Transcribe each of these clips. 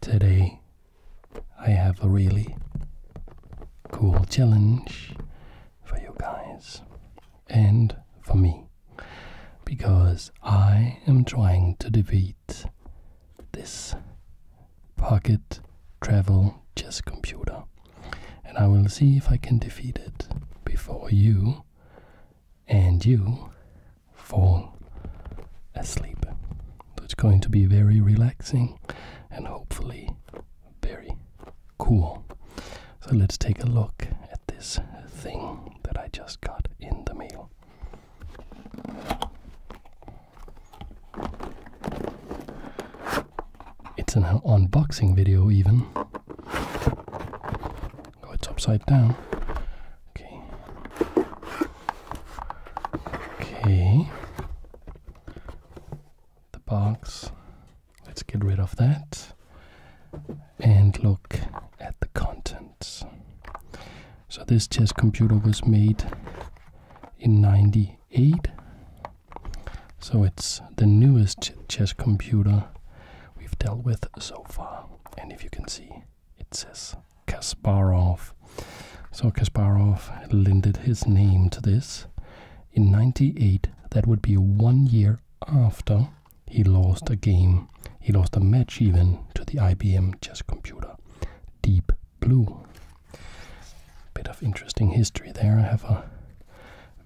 Today, I have a really cool challenge for you guys and for me because I am trying to defeat this pocket travel chess computer and I will see if I can defeat it before you and you fall asleep. So it's going to be very relaxing and hopefully very cool. So let's take a look at this thing that I just got in the mail. It's an unboxing video, even. Oh, it's upside down. Okay. Okay. The box. Let's get rid of that and look at the contents. So this chess computer was made in 98. So it's the newest chess computer we've dealt with so far. And if you can see it says Kasparov. So Kasparov lended his name to this. In 98, that would be one year after he lost a game, he lost a match even to the IBM chess computer, Deep Blue. Bit of interesting history there. I have a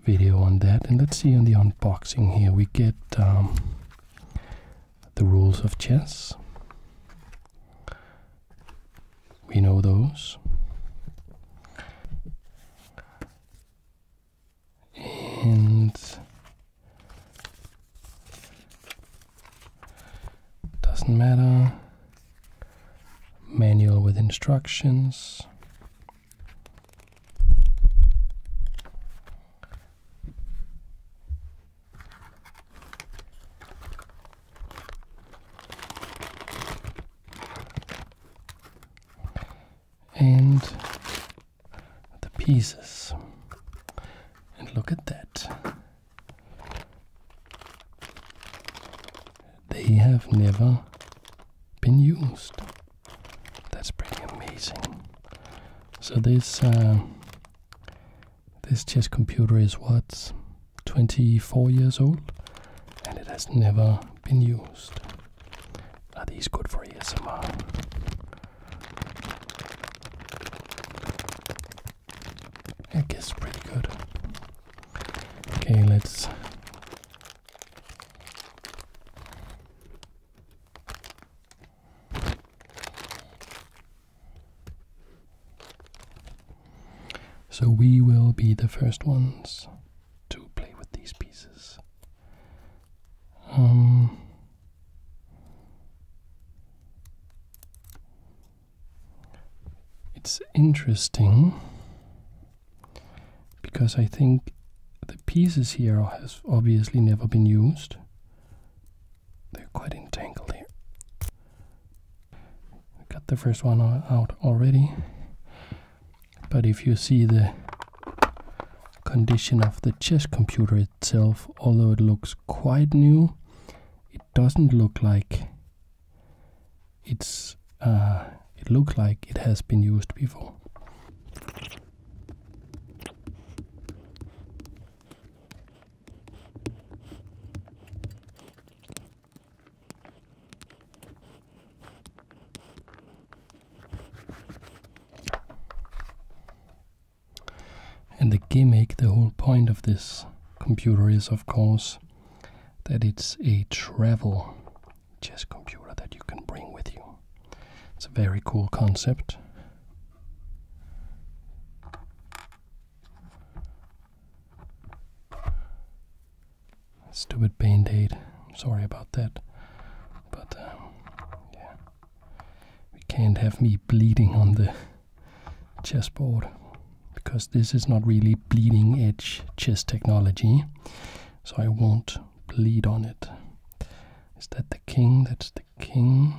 video on that. And let's see in the unboxing here. We get um, the rules of chess. We know those. And doesn't matter. Manual with instructions and the pieces. And look at that. They have never been used. That's pretty amazing. So this uh, this chess computer is what 24 years old and it has never been used. Are these good for ASMR? I guess pretty good. Okay, let's so we will be the first ones to play with these pieces. Um, it's interesting because I think the pieces here has obviously never been used they're quite entangled here. I cut the first one out already, but if you see the condition of the chess computer itself, although it looks quite new, it doesn't look like it's uh, it looks like it has been used before. And the gimmick, the whole point of this computer is, of course, that it's a travel chess computer that you can bring with you. It's a very cool concept. Stupid band aid. sorry about that. But, um, yeah. We can't have me bleeding on the chessboard because this is not really bleeding edge chess technology. So I won't bleed on it. Is that the king? That's the king.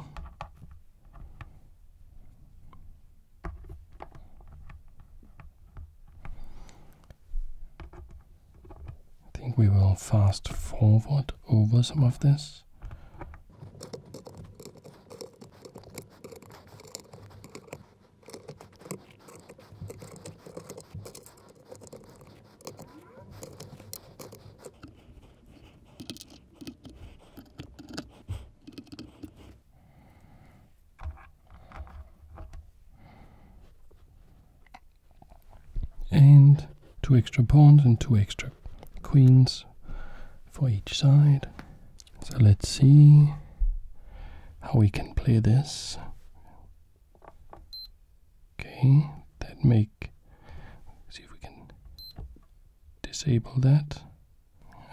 I think we will fast forward over some of this and two extra pawns and two extra queens for each side. So let's see how we can play this. Okay, that make see if we can disable that.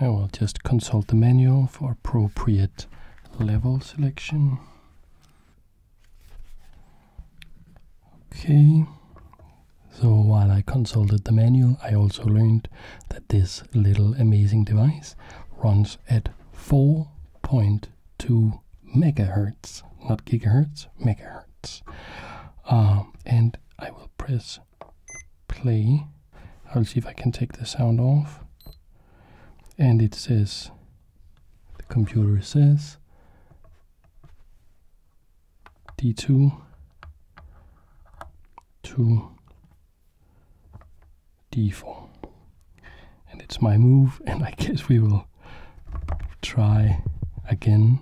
I will just consult the manual for appropriate level selection. Okay, so while I consulted the manual, I also learned that this little amazing device runs at 4.2 megahertz, not gigahertz, megahertz. Um, and I will press play. I'll see if I can take the sound off. And it says, the computer says, D2 to D4. And it's my move, and I guess we will try again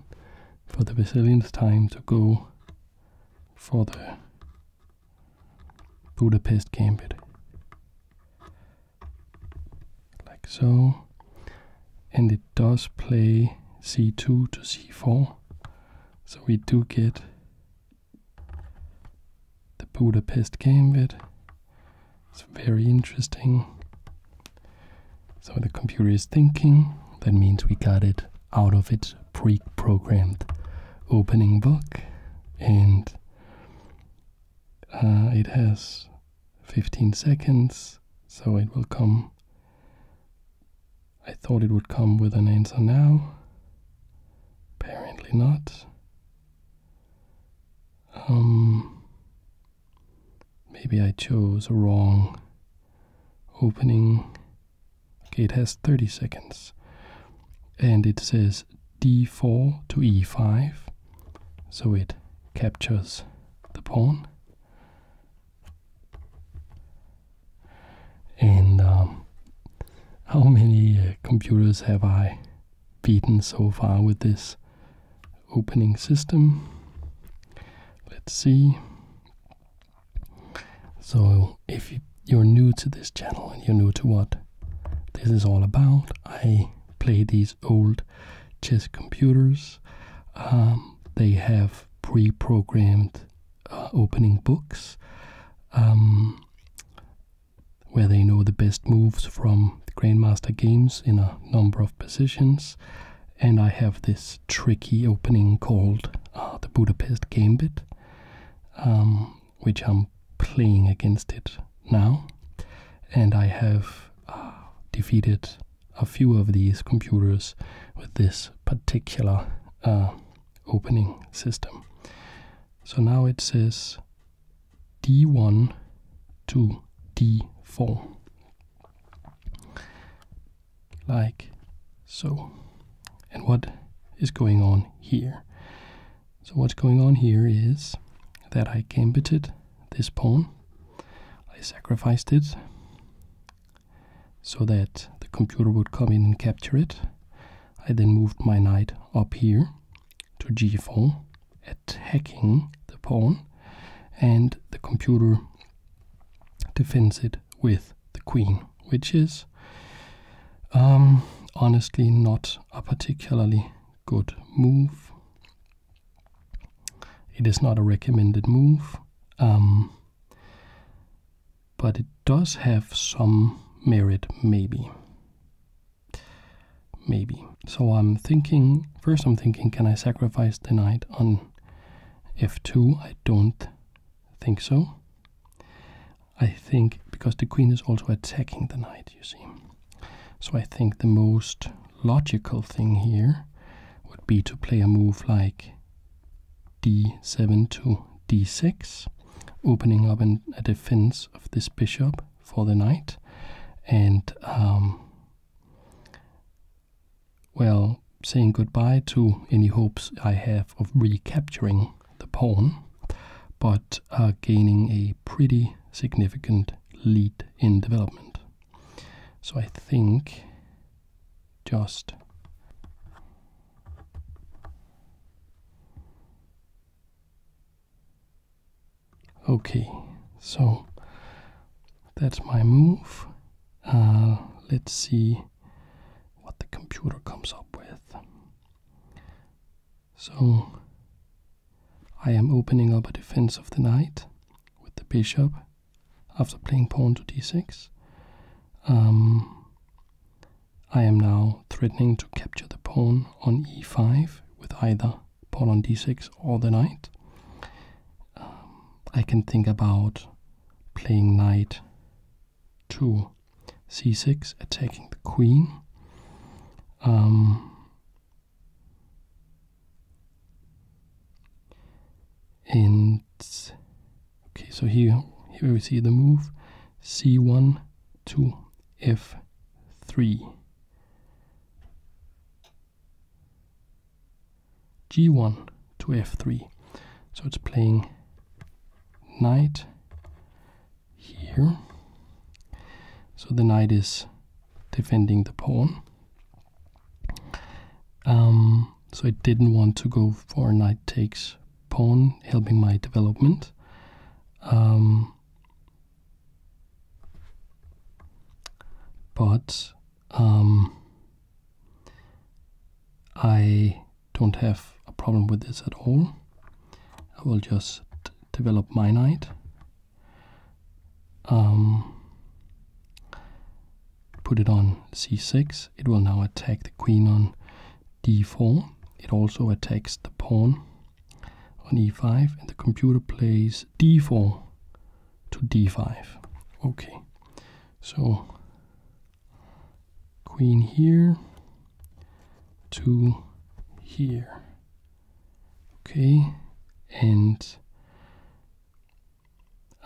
for the Basilian's time to go for the Budapest Gambit. Like so. And it does play c2 to c4. So we do get the Budapest Gambit. It's very interesting. So the computer is thinking. That means we got it out of its pre-programmed opening book and uh, it has 15 seconds so it will come I thought it would come with an answer now apparently not um maybe I chose a wrong opening Okay, it has 30 seconds and it says d4 to e5 so it captures the pawn and um, how many uh, computers have i beaten so far with this opening system let's see so, if you're new to this channel and you're new to what this is all about, I play these old chess computers. Um, they have pre programmed uh, opening books um, where they know the best moves from Grandmaster games in a number of positions. And I have this tricky opening called uh, the Budapest Gambit um, which I'm playing against it now. And I have uh, defeated a few of these computers with this particular uh, opening system. So now it says d1 to d4 like so. And what is going on here? So what's going on here is that I gambited this pawn. I sacrificed it so that the computer would come in and capture it. I then moved my knight up here to g4, attacking the pawn, and the computer defends it with the queen, which is um, honestly not a particularly good move. It is not a recommended move, um, but it does have some merit, maybe. Maybe. So I'm thinking, first I'm thinking, can I sacrifice the knight on f2? I don't I think so. I think because the queen is also attacking the knight, you see. So I think the most logical thing here would be to play a move like d7 to d6, opening up a defense of this bishop for the knight. And, um, well, saying goodbye to any hopes I have of recapturing the pawn, but are gaining a pretty significant lead in development. So I think just okay, so that's my move. Uh, let's see what the computer comes up with. So I am opening up a defense of the knight with the bishop after playing pawn to d6. Um, I am now threatening to capture the pawn on e5 with either pawn on d6 or the knight. Um, I can think about playing knight to c6, attacking the queen. Um, and okay, so here here we see the move c1 two, f3. g1 to f3. So it's playing knight here. So the knight is defending the pawn. Um, so I didn't want to go for knight takes pawn, helping my development. Um, but um, I don't have a problem with this at all. I will just develop my knight. Um, put it on c6. It will now attack the queen on d4. It also attacks the pawn on e5, and the computer plays d4 to d5. Okay, so queen here, to here. Okay, and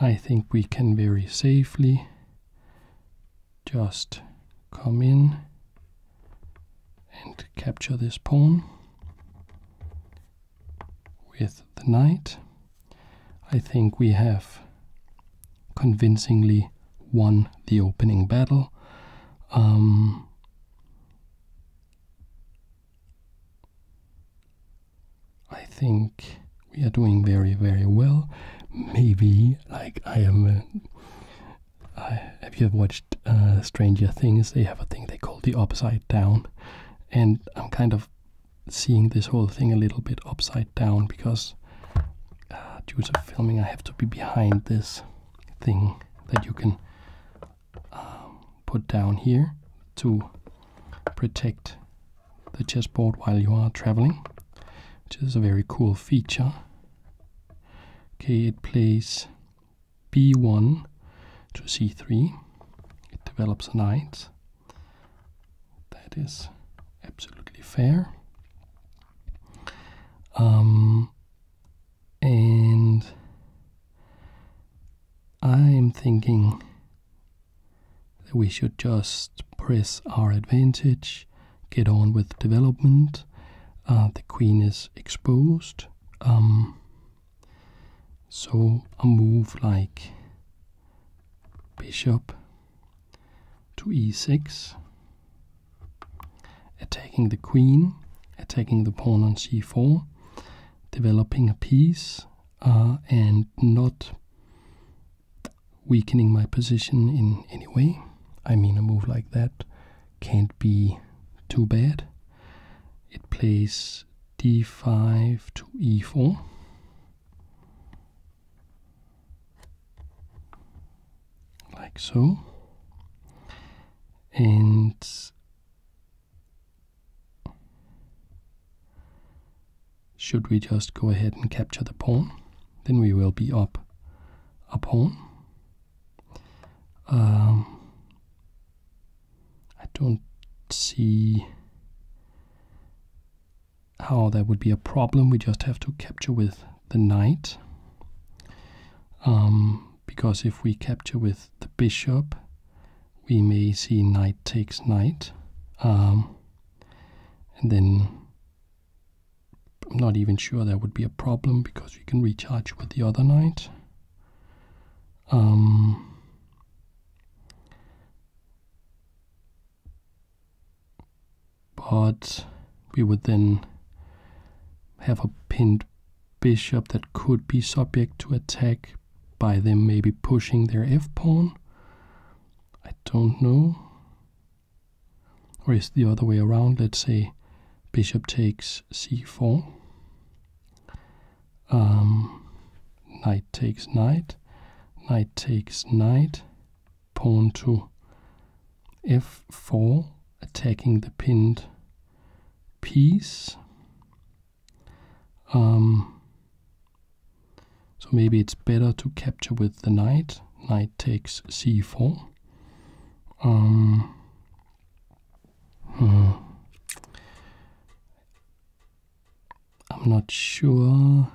I think we can very safely just come in and capture this pawn with the knight. I think we have convincingly won the opening battle. Um, I think we are doing very, very well. Maybe, like, I am. Uh, if you have watched uh, Stranger Things, they have a thing they call the upside down. And I'm kind of seeing this whole thing a little bit upside down because uh, due to filming, I have to be behind this thing that you can um, put down here to protect the chessboard while you are traveling, which is a very cool feature. Okay, it plays b1 to c3. It develops a knight. That is absolutely fair. Um, and I'm thinking that we should just press our advantage, get on with development. Uh, the queen is exposed. Um, so a move like bishop to e6 attacking the queen, attacking the pawn on c4, developing a piece, uh, and not weakening my position in any way. I mean, a move like that can't be too bad. It plays d5 to e4 like so, and should we just go ahead and capture the pawn, then we will be up a pawn. Um, I don't see how that would be a problem. We just have to capture with the knight. Um, because if we capture with the bishop, we may see knight takes knight. Um, and then I'm not even sure that would be a problem because we can recharge with the other knight. Um, but we would then have a pinned bishop that could be subject to attack by them maybe pushing their f-pawn. I don't know. Or is the other way around? Let's say bishop takes c4. Um, knight takes knight. Knight takes knight pawn to f4, attacking the pinned piece. Um, so maybe it's better to capture with the knight. Knight takes c4. Um, hmm. I'm not sure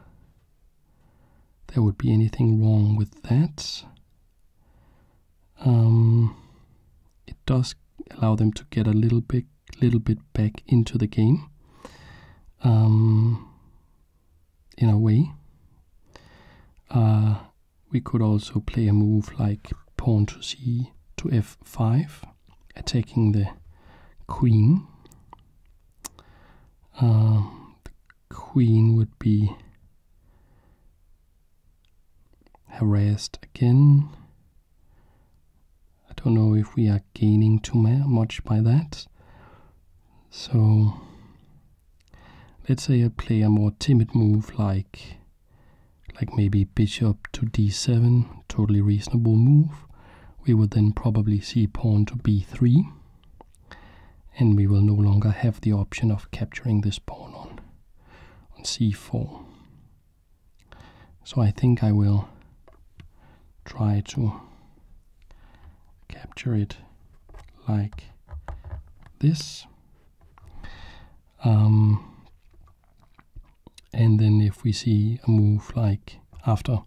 there would be anything wrong with that. Um, it does allow them to get a little bit, little bit back into the game, um, in a way. Uh, we could also play a move like pawn to c to f5, attacking the queen. Um, queen would be harassed again. I don't know if we are gaining too much by that. So let's say I play a more timid move like like maybe bishop to d7, totally reasonable move. We would then probably see pawn to b3 and we will no longer have the option of capturing this pawn on, on c4. So I think I will try to capture it like this. Um, and then if we see a move like after,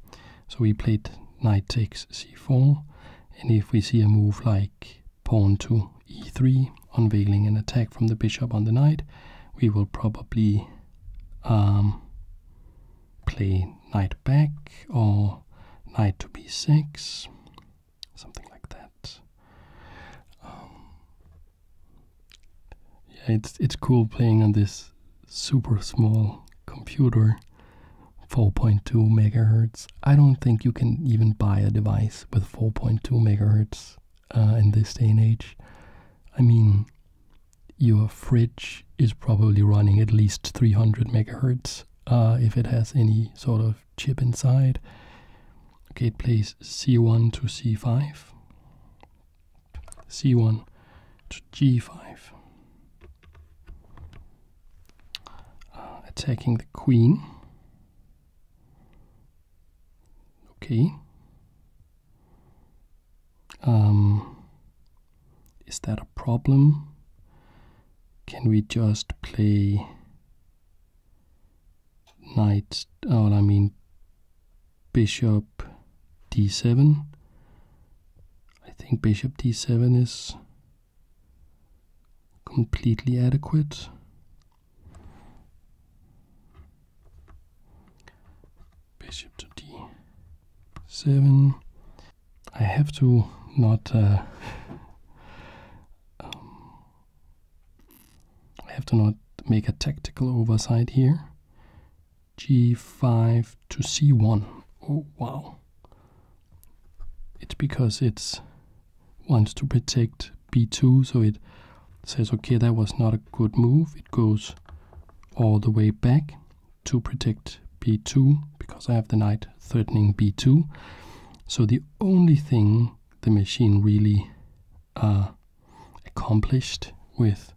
so we played knight takes c4, and if we see a move like pawn to e3, unveiling an attack from the bishop on the knight. We will probably um, play knight back or knight to b6, something like that. Um, yeah, it's it's cool playing on this super small computer 4.2 megahertz. I don't think you can even buy a device with 4.2 megahertz uh, in this day and age. I mean, your fridge is probably running at least 300 megahertz uh, if it has any sort of chip inside. Okay, it plays C1 to C5, C1 to G5. Uh, attacking the queen. Okay. Um, is that a problem? Can we just play knight, oh, I mean bishop d7? I think bishop d7 is completely adequate. Bishop to d7. I have to not. Uh, um, I have to not make a tactical oversight here. g5 to c1. Oh wow it's because it wants to protect b2, so it says, okay, that was not a good move. It goes all the way back to protect b2 because I have the knight threatening b2. So the only thing the machine really uh, accomplished with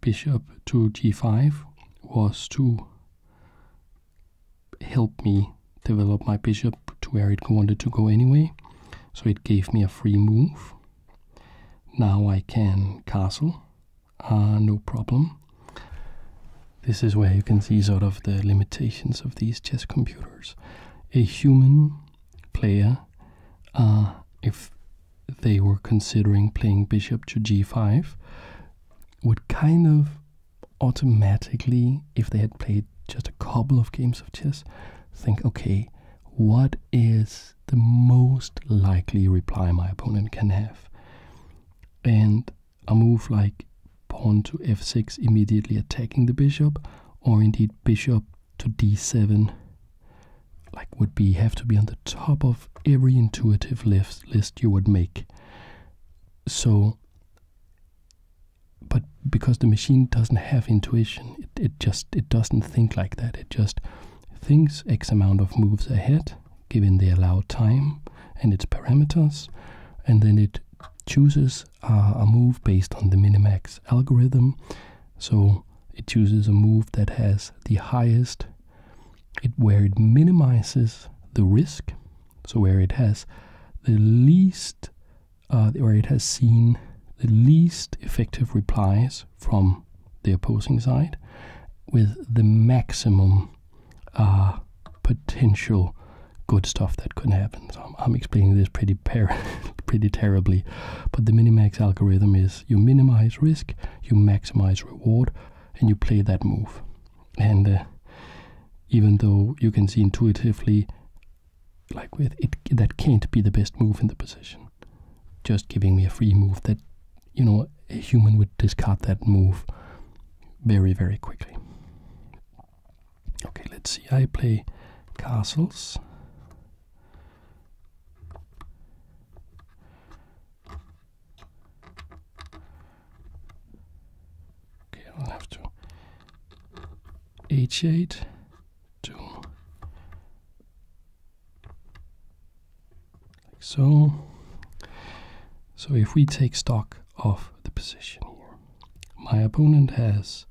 bishop to g5 was to helped me develop my bishop to where it wanted to go anyway. So it gave me a free move. Now I can castle, uh, no problem. This is where you can see sort of the limitations of these chess computers. A human player, uh, if they were considering playing bishop to g5, would kind of automatically, if they had played just a couple of games of chess, think okay, what is the most likely reply my opponent can have? And a move like pawn to f6 immediately attacking the bishop, or indeed bishop to d7 like would be have to be on the top of every intuitive list list you would make. So but because the machine doesn't have intuition it, just it doesn't think like that it just thinks x amount of moves ahead given the allowed time and its parameters and then it chooses a move based on the minimax algorithm so it chooses a move that has the highest it where it minimizes the risk so where it has the least, uh, where it has seen the least effective replies from the opposing side, with the maximum uh, potential good stuff that could happen. So I'm, explaining this pretty pretty terribly, but the minimax algorithm is you minimize risk, you maximize reward, and you play that move and uh, even though you can see intuitively like with it that can't be the best move in the position just giving me a free move that you know a human would discard that move very very quickly okay let's see i play castles Okay, I'll have to h8 to like so. So if we take stock of the position here, my opponent has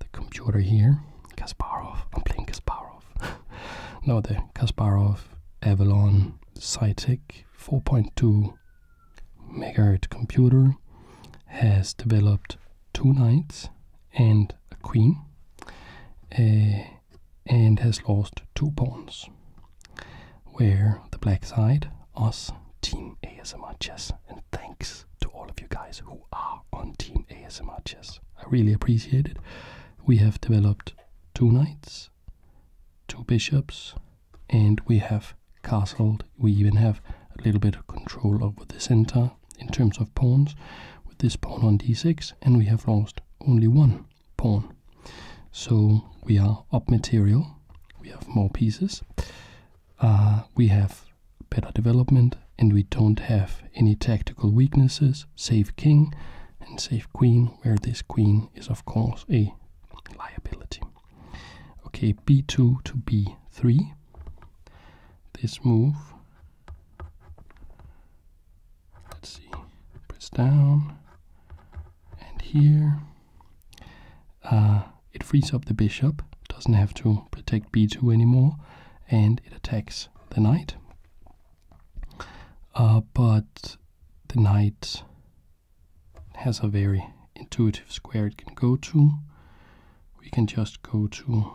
the computer here, Kasparov. I'm playing Kasparov. Now the Kasparov Avalon Cytec 4.2 megahertz computer has developed two knights and a queen eh, and has lost two pawns where the black side us team asmr and thanks to all of you guys who are on team asmr i really appreciate it we have developed two knights two bishops and we have castled. We even have a little bit of control over the center in terms of pawns with this pawn on d6, and we have lost only one pawn. So we are up material, we have more pieces, uh, we have better development, and we don't have any tactical weaknesses, save king and save queen, where this queen is, of course, a liability. Okay, b2 to b3. This move. Let's see. Press down. And here. Uh, it frees up the bishop. Doesn't have to protect b2 anymore. And it attacks the knight. Uh, but the knight has a very intuitive square it can go to. We can just go to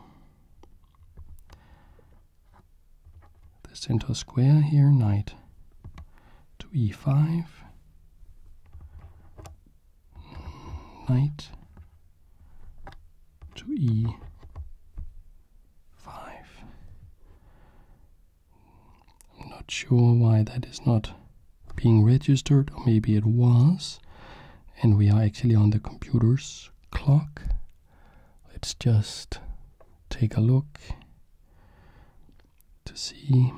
the center square here, knight to e5, knight to e5. I'm not sure why that is not being registered, or maybe it was. And we are actually on the computer's clock. Let's just take a look to see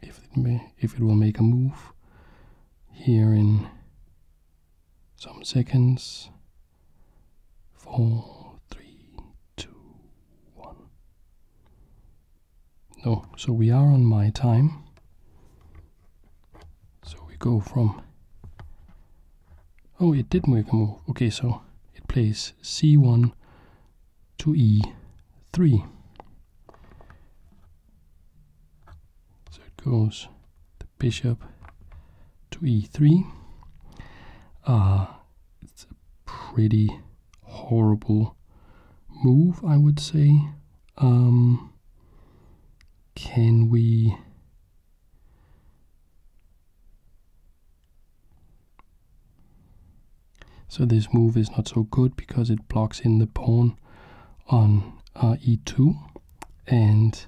if it, if it will make a move here in some seconds. Four, three, two, one. No, so we are on my time. So we go from. Oh, it did make a move. Okay, so it plays c1 to e3. So it goes the bishop to e3. Ah, it's a pretty horrible move, I would say. Um, can we. So this move is not so good because it blocks in the pawn on uh, e2 and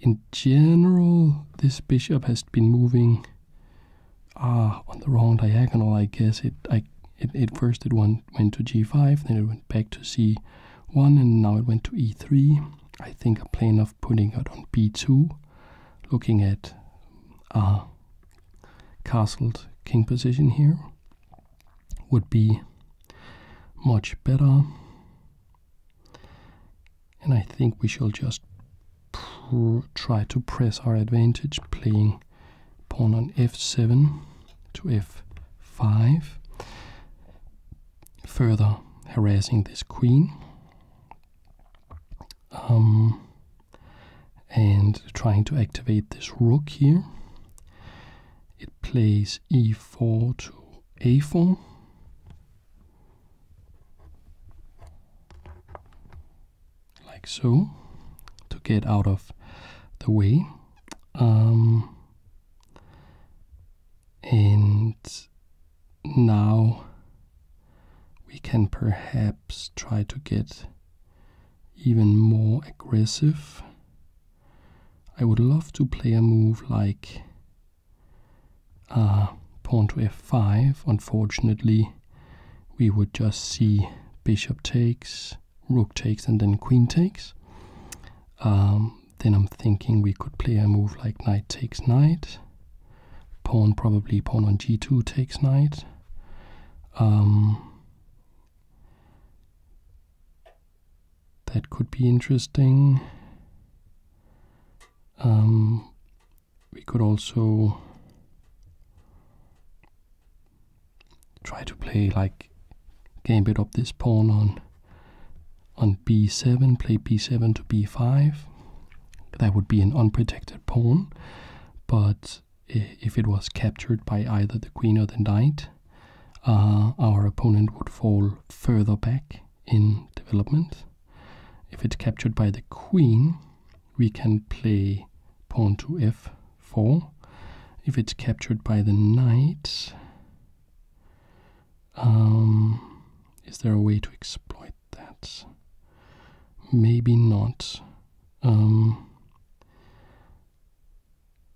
in general this bishop has been moving ah, on the wrong diagonal, I guess. It, I, it, it first it went, went to g5, then it went back to c1, and now it went to e3. I think a plan of putting it on b2, looking at a castled king position here, would be much better. And I think we shall just try to press our advantage playing pawn on f7 to f5, further harassing this queen. Um, and trying to activate this rook here. It plays e4 to a4 like so to get out of the way um, and now we can perhaps try to get even more aggressive I would love to play a move like Ah pawn to f5 unfortunately we would just see bishop takes, rook takes, and then queen takes. Um, then I'm thinking we could play a move like knight takes knight. Pawn probably pawn on g2 takes knight. Um, that could be interesting. Um, we could also try to play like gambit up this pawn on on b7 play b7 to b5 that would be an unprotected pawn but if it was captured by either the queen or the knight uh, our opponent would fall further back in development if it's captured by the queen we can play pawn to f4. If it's captured by the knight, um, is there a way to exploit that? Maybe not. Um,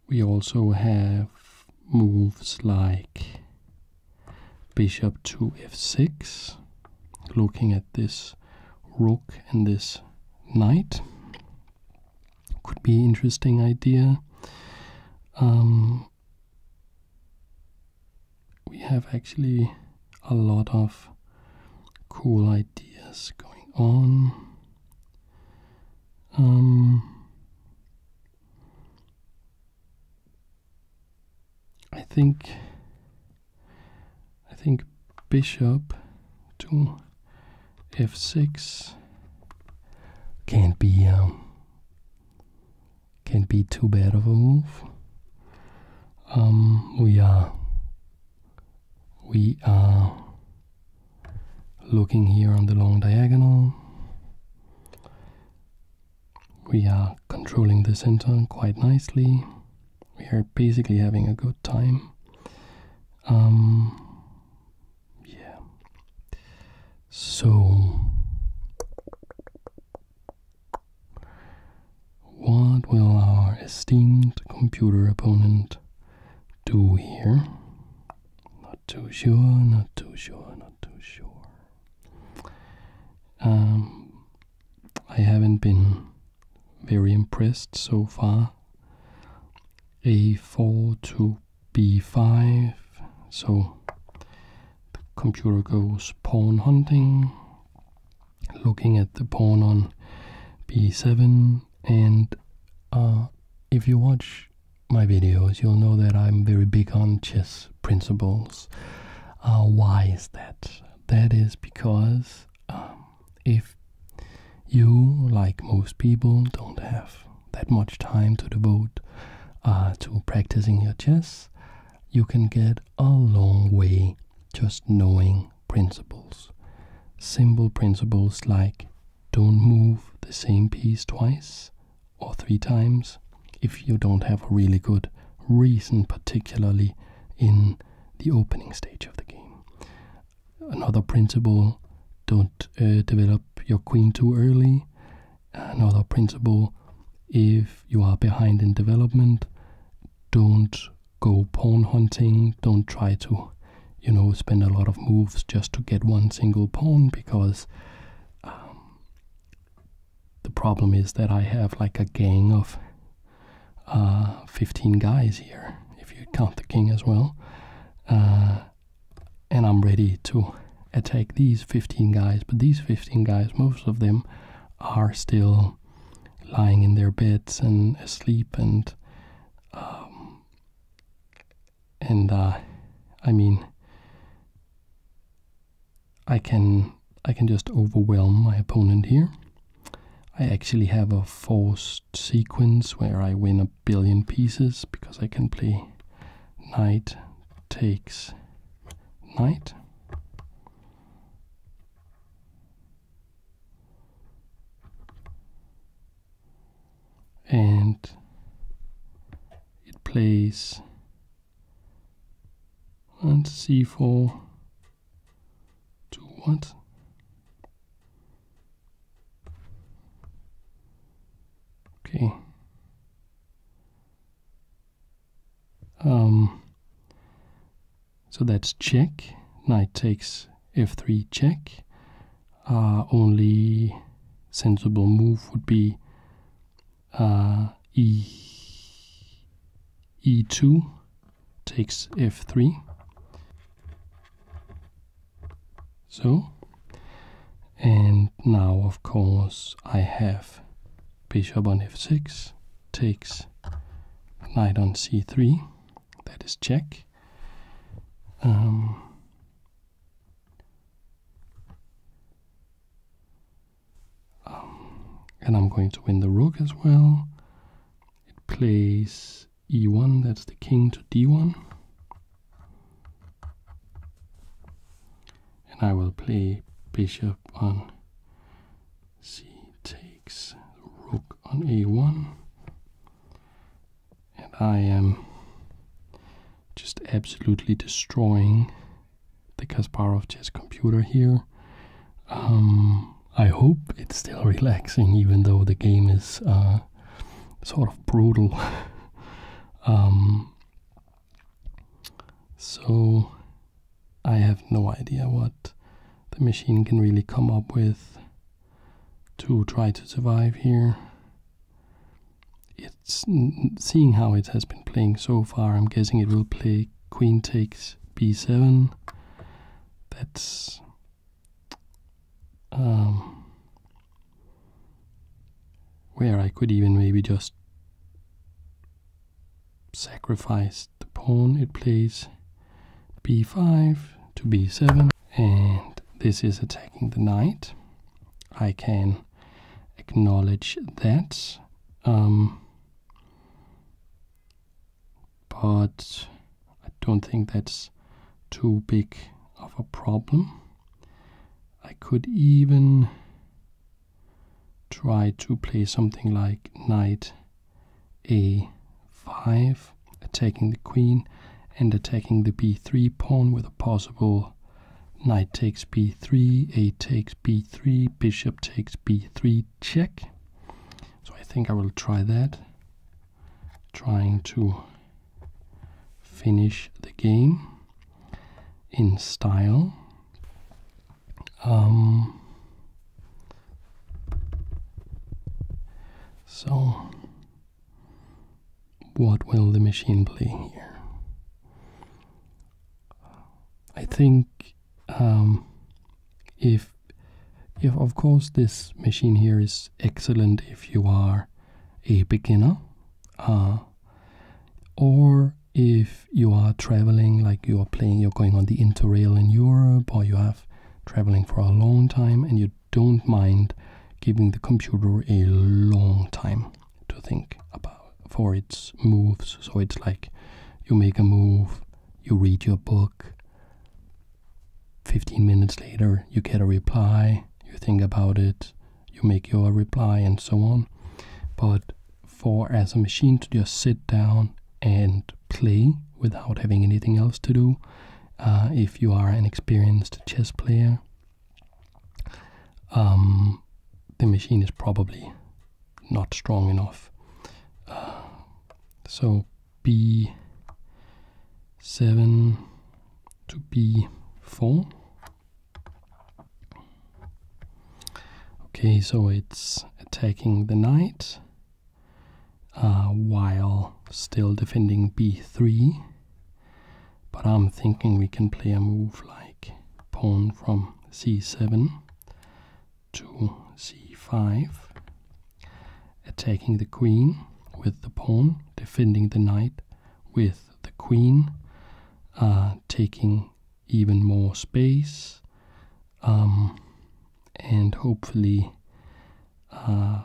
we also have moves like bishop to f6, looking at this rook and this knight could be interesting idea. Um, we have actually a lot of cool ideas going on. Um, I think I think bishop to f6 can't be um, can't be too bad of a move. Um, we are we are looking here on the long diagonal. We are controlling the center quite nicely we are basically having a good time. Um, yeah. So, what will our esteemed computer opponent do here? Not too sure, not too sure, not too sure. Um, I haven't been very impressed so far. a4 to b5, so the computer goes pawn hunting, looking at the pawn on b7. And uh, if you watch my videos, you'll know that I'm very big on chess principles. Uh, why is that? That is because um, if you, like most people, don't have that much time to devote uh, to practicing your chess, you can get a long way just knowing principles. Simple principles like don't move the same piece twice or three times if you don't have a really good reason, particularly in the opening stage of the game. Another principle, don't uh, develop your queen too early. Another principle, if you are behind in development, don't go pawn hunting. Don't try to, you know, spend a lot of moves just to get one single pawn because um, the problem is that I have like a gang of uh, 15 guys here, if you count the king as well. Uh, and I'm ready to attack these 15 guys, but these 15 guys, most of them are still lying in their beds and asleep and um, and uh, I mean I can I can just overwhelm my opponent here I actually have a forced sequence where I win a billion pieces because I can play knight takes knight. And it plays and c4 to what? Okay. Um, so that's check. Knight takes f3 check. Uh, only sensible move would be uh, e e2 takes f3 so, and now of course I have bishop on f6, takes knight on c3, that is check. Um, um, and I'm going to win the rook as well. It plays e1, that's the king to d1. And I will play bishop on c takes rook on a1. And I am just absolutely destroying the Kasparov chess computer here. Um, I hope it's still relaxing, even though the game is uh, sort of brutal. Um, so I have no idea what the machine can really come up with to try to survive here. It's seeing how it has been playing so far. I'm guessing it will play queen takes b7. That's um, where I could even maybe just sacrifice the pawn it plays b5 to b7 and this is attacking the knight I can acknowledge that um, but I don't think that's too big of a problem. I could even try to play something like knight a5, attacking the queen and attacking the b3 pawn with a possible knight takes b3, a takes b3, bishop takes b3 check. So I think I will try that trying to finish the game in style. Um, so, what will the machine play here? I think um, if if of course this machine here is excellent if you are a beginner uh, or if you are traveling like you are playing you're going on the interrail in europe or you have traveling for a long time and you don't mind giving the computer a long time to think about for its moves so it's like you make a move you read your book 15 minutes later, you get a reply, you think about it, you make your reply, and so on. But for as a machine to just sit down and play without having anything else to do, uh, if you are an experienced chess player, um, the machine is probably not strong enough. Uh, so b7 to b4 okay so it's attacking the knight uh, while still defending b3 but I'm thinking we can play a move like pawn from c7 to c5 attacking the queen with the pawn, defending the knight with the queen, uh, taking even more space, um, and hopefully uh,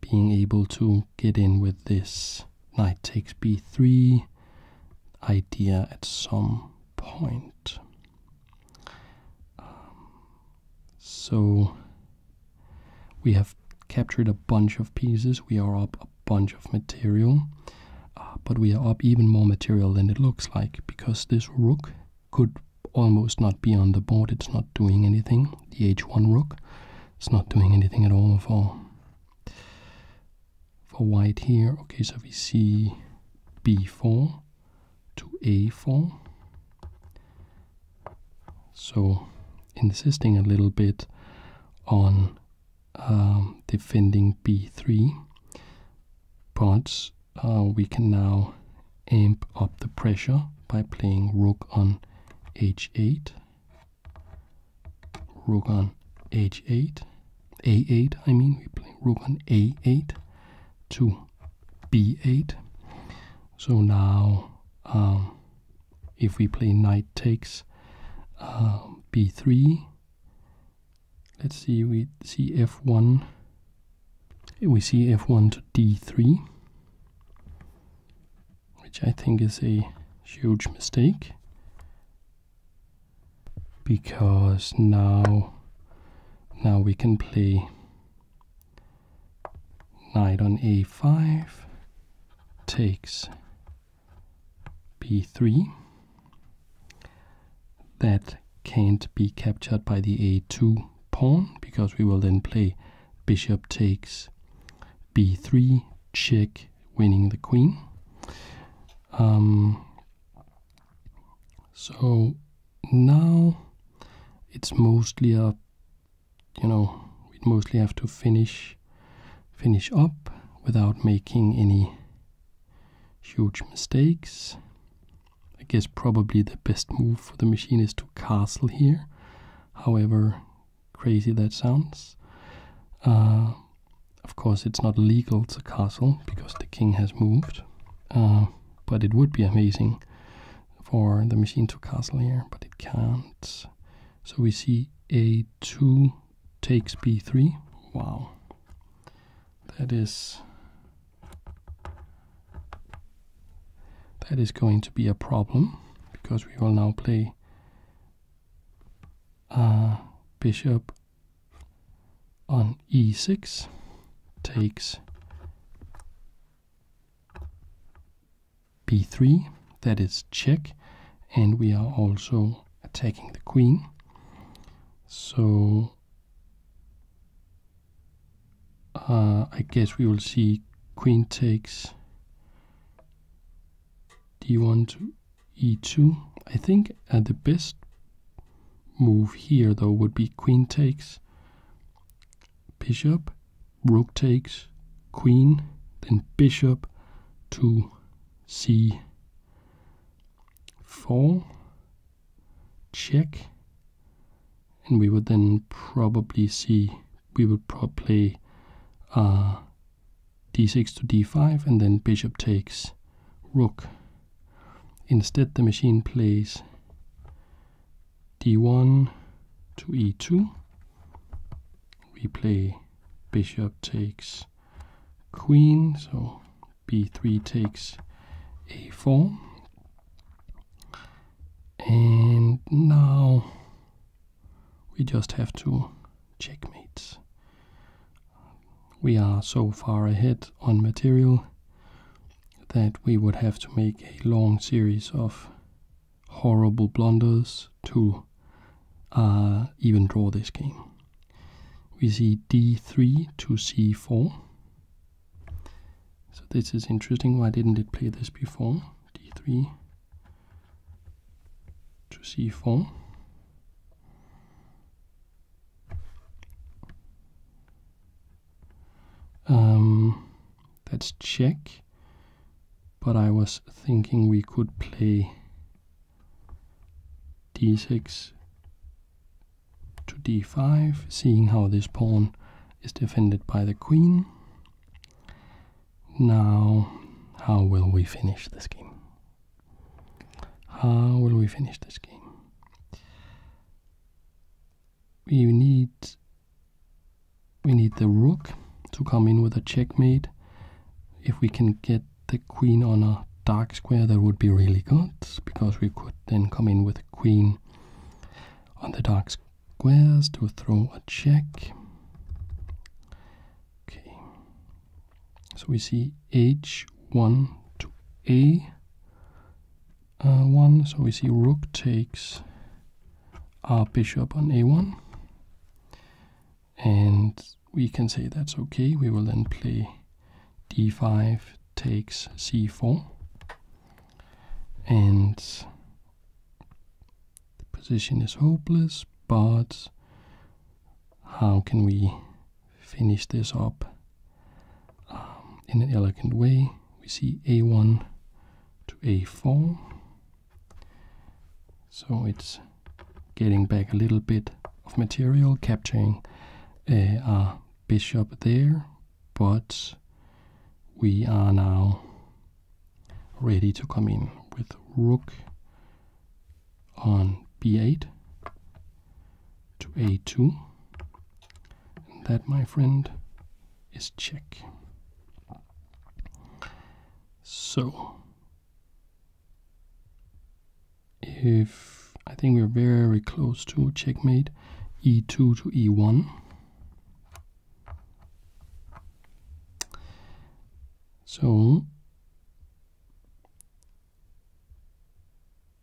being able to get in with this knight takes b3 idea at some point. Um, so we have captured a bunch of pieces, we are up a bunch of material, uh, but we are up even more material than it looks like because this rook could almost not be on the board, it's not doing anything. The h1 rook, it's not doing anything at all for for white here. Okay, so we see b4 to a4. So, insisting a little bit on um, defending b3, but uh, we can now amp up the pressure by playing rook on h8, rook on h8, a8, I mean, we play rook on a8 to b8. So now um, if we play knight takes um, b3, let's see, we see f1, we see f1 to d3, which I think is a huge mistake because now now we can play knight on a5 takes b3. That can't be captured by the a2 pawn because we will then play bishop takes b3 check winning the queen. Um, so now it's mostly a you know we'd mostly have to finish finish up without making any huge mistakes. I guess probably the best move for the machine is to castle here, however crazy that sounds. Uh, of course, it's not legal to castle because the king has moved, uh, but it would be amazing for the machine to castle here, but it can't. So we see a2 takes b3. Wow. That is that is going to be a problem because we will now play uh, bishop on e6 takes b3, that is check, and we are also attacking the queen. So uh, I guess we will see queen takes d1 to e2. I think uh, the best move here though would be queen takes bishop rook takes queen, then bishop to c4, check, and we would then probably see, we would probably play uh, d6 to d5, and then bishop takes rook. Instead, the machine plays d1 to e2 Replay. bishop takes queen so b3 takes a4 and now we just have to checkmate we are so far ahead on material that we would have to make a long series of horrible blunders to uh, even draw this game. We see d3 to c4. So this is interesting. Why didn't it play this before? d3 to c4. let um, Let's check but I was thinking we could play d6 to d5, seeing how this pawn is defended by the queen. Now, how will we finish the game? How will we finish the game? you need we need the rook to come in with a checkmate. If we can get the queen on a dark square, that would be really good because we could then come in with the queen on the dark squares to throw a check. Okay, so we see h1 to a uh, one. So we see rook takes our bishop on a1. And we can say that's okay. We will then play d5 takes c4. And the position is hopeless, but how can we finish this up um, in an elegant way? we see a1 to a4. So it's getting back a little bit of material, capturing a uh, bishop there, but we are now ready to come in with rook on b8 to a2. And that, my friend, is check. So, if I think we're very close to checkmate e2 to e1. So,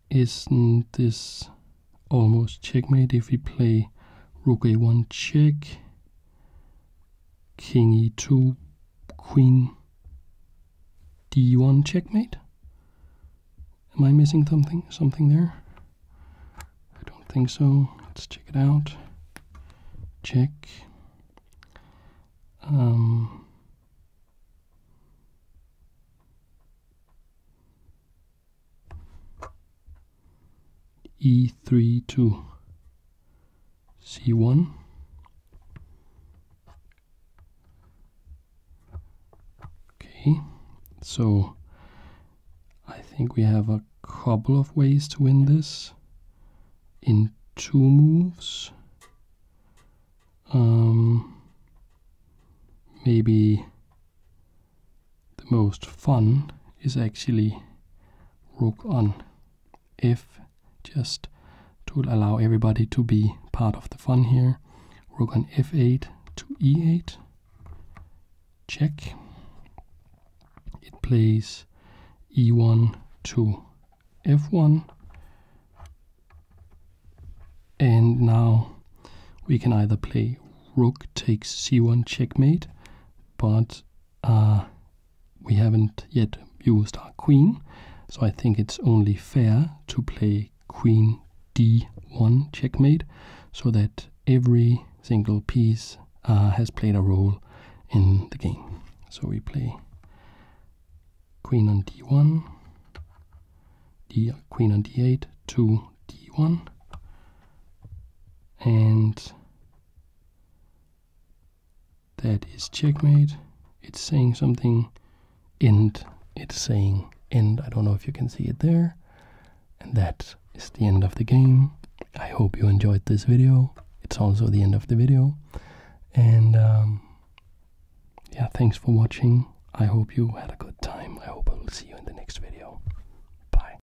isn't this almost checkmate if we play rook a1 check king e2, queen d1 checkmate. Am I missing something? Something there? I don't think so. Let's check it out. Check. Um, e3 two. c1 okay so i think we have a couple of ways to win this in two moves um maybe the most fun is actually rook on f just to allow everybody to be part of the fun here. Rook on f8 to e8. Check. It plays e1 to f1. And now we can either play rook takes c1 checkmate but uh, we haven't yet used our queen, so I think it's only fair to play queen d1 checkmate so that every single piece uh, has played a role in the game. So we play queen on d1, d, queen on d8 to d1, and that is checkmate it's saying something end it's saying end i don't know if you can see it there and that is the end of the game i hope you enjoyed this video it's also the end of the video and um, yeah thanks for watching i hope you had a good time i hope i will see you in the next video bye